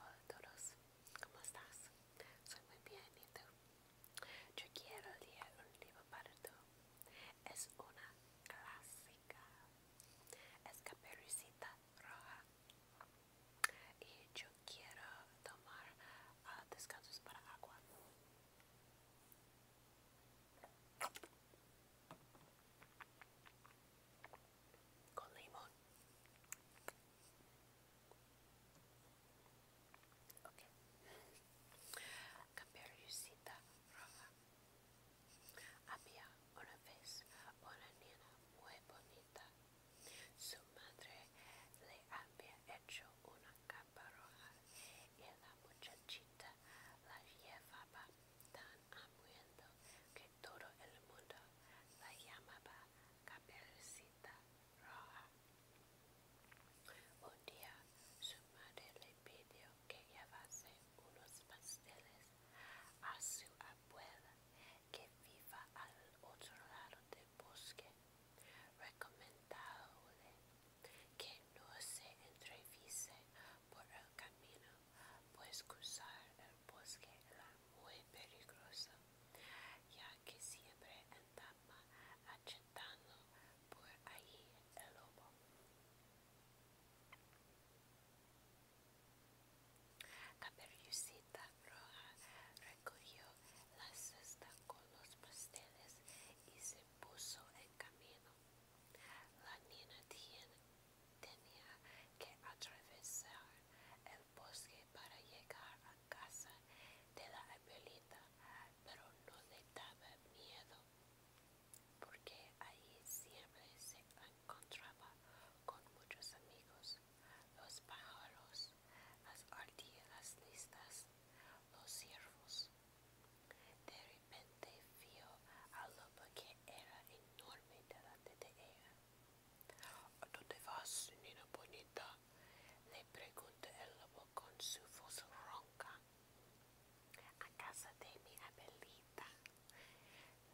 Hola todos, ¿cómo estás? Soy muy bien, ¿y tú? Yo quiero leer un libro para tú. Es una clásica. Es Caperucita Roja. Y yo quiero tomar ah, descansos para agua con limón. Ok. roja. Había una vez una niña muy bonita. Su madre le había hecho una capa roja y la muchachita la llevaba tan hambriento que todo el mundo la llamaba Caperucita Roja. Un día su madre le pidió que llevase unos pasteles a su abuela que viva al otro lado del bosque, recomendándole que no se entrevise por el camino, pues cruzar el bosque era muy peligroso, ya que siempre andaba achetando por allí el lobo. Caperucita Roja recogió la cesta con los pasteles y se puso en camino. La niña tenía que atravesar el bosque para llegar a casa de la abuelita, pero no le daba miedo, porque ahí siempre se encontraba con muchos amigos, los pájaros, las ardillas listas, los ciervos, de repente vio al Lobo que era enorme delante de ella. ¿A dónde vas, niña bonita? Le preguntó el lobo con su voz ronca. A casa de mi abuelita,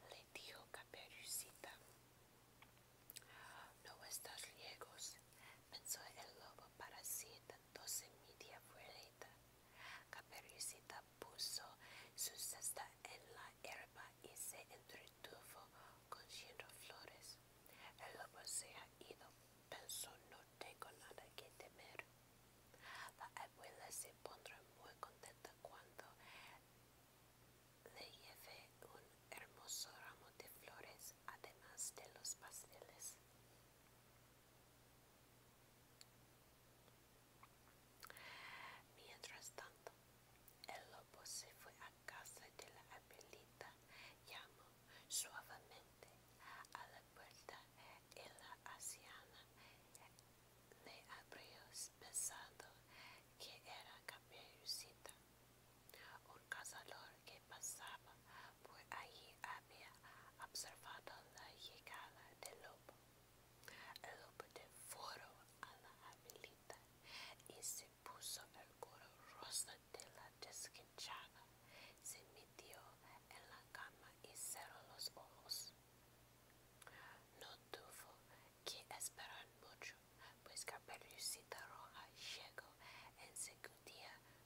le dijo Caperucita. No estás liegos, pensó el lobo para sí, mi media abuelita. Caperucita puso su cesta en la hierba y se entretuvo cogiendo flores. El lobo se ha ido, pensó, no tengo nada que temer. La abuela se pondrá muy contenta cuando le lleve un hermoso ramo de flores, además de los pasteles. Mientras tanto, el lobo se fue a casa de la abuelita, llamó suavemente a la puerta y la anciana le abrió pensando que era Caperucita, un cazador que pasaba pues allí había observado la llegada del lobo. El lobo de foro a la habilita y se puso el coro rosa de la desquinchada, se metió en la cama y cerró los ojos. No tuvo que esperar mucho, pues Cabellucita Roja llegó en día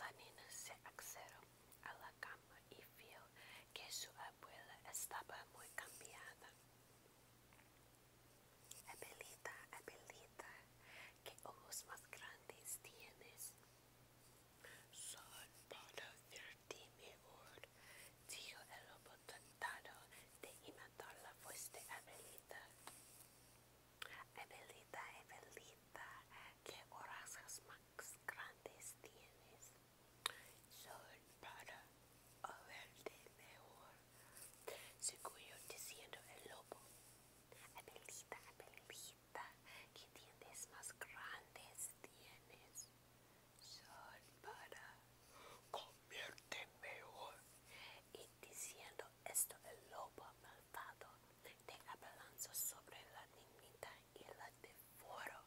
La nena se acercó a la cama y vio que su abuela estaba muy cambiada. Abelita, Abelita, ¿qué ojos más grandes tienes? Son para verte mejor, dijo el lobo tentado de imitar la voz de Abelita. Abelita, Abelita, ¿qué corazas más grandes tienes? Son para verte mejor, siguió diciendo el lobo. Abelita, Abelita, ¿qué dientes más grandes tienes? Son para comerte mejor. Y diciendo esto, el lobo de te sobre la niñita y la devoró,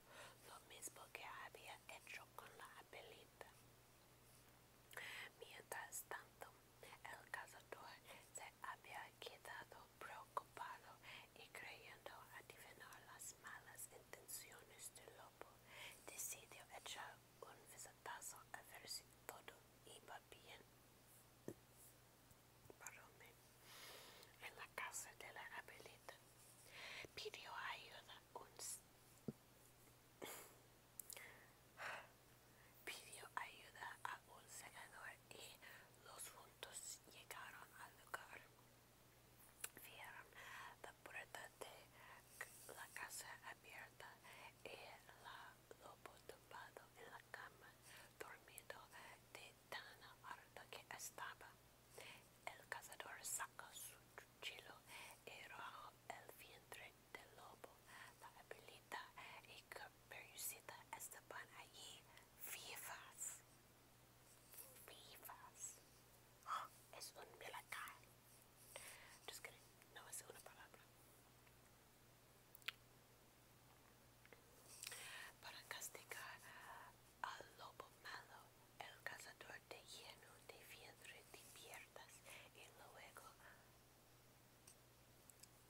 lo mismo que había hecho con la abelita. Mientras tanto, el cazador se había quedado preocupado y creyendo adivinar las malas intenciones del lobo, decidió echar un visitazo a ver si todo iba bien en la casa de la abuelita. Pidió ayuda un pidió ayuda a un senador y los juntos llegaron al lugar. Vieron la puerta de la casa abierta y la lobo tomado en la cama, dormido de tan que estaba. El cazador saca su cuchillo y el vientre del lobo. La abuelita y curiosita estaban allí vivas. Vivas. ¡Ah! es un milagro. Just kidding. No es una palabra. Para castigar al lobo malo, el cazador te lleno de fiebre de piernas y luego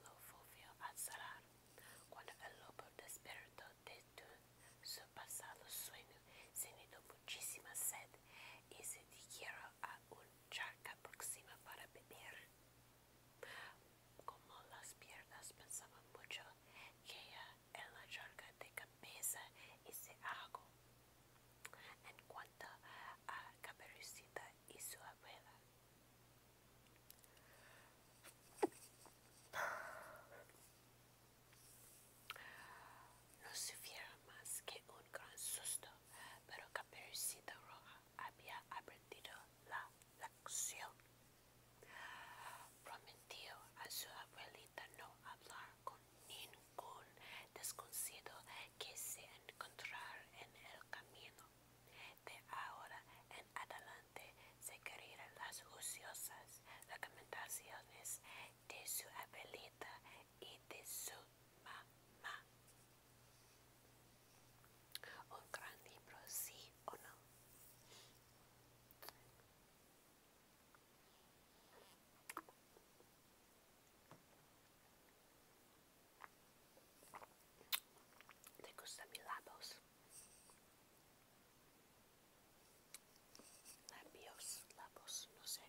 lo volvió a cerrar. Cuando el lobo despertó de su pasado sueño, sintió muchísima sed y se dirigió a un charca próxima para beber. Como las piernas pensaba mucho, que en la charca de cabeza y se hago. En cuanto a Caperucita y su abuela, no sufriera más que un gran susto, pero Caperucita Roja había aprendido la lección. Prometió a su abuelita no hablar con ningún desconocido que se encontrara en el camino. De ahora en adelante se seguirán las ociosas recomendaciones de su abuelita y de su un gran libro, sí o no. ¿Te gustan mis labios? Labios, labios, no sé.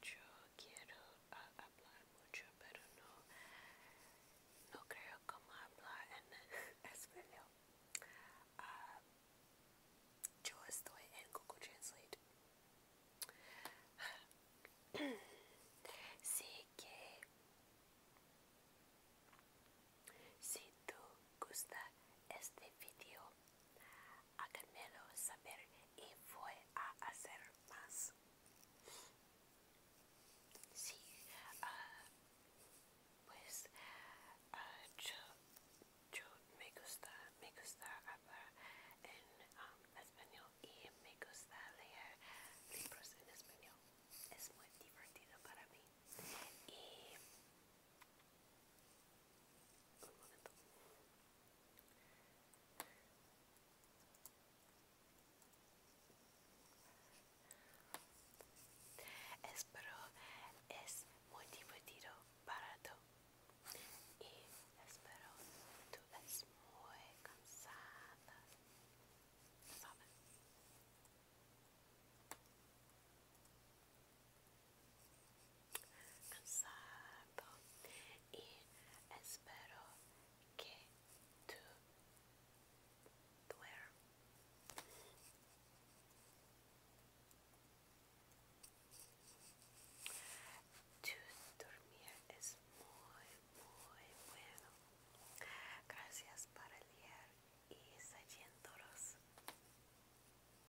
Yo quiero hablar mucho, pero no, no creo cómo hablar en español. Ah, yo estoy en Google Translate. sí que si tú gusta este video a saber y voy a hacer más. Sí, ah, pues ah, yo, yo me gusta, me gusta hablar en um, español y me gusta leer libros en español. Es muy divertido para mí. Y Espero es muy divertido para tú y espero tú es muy cansada, cansado y espero que tú duermas. Tu dormir es muy, muy bueno. Gracias para leer y sayéndolos.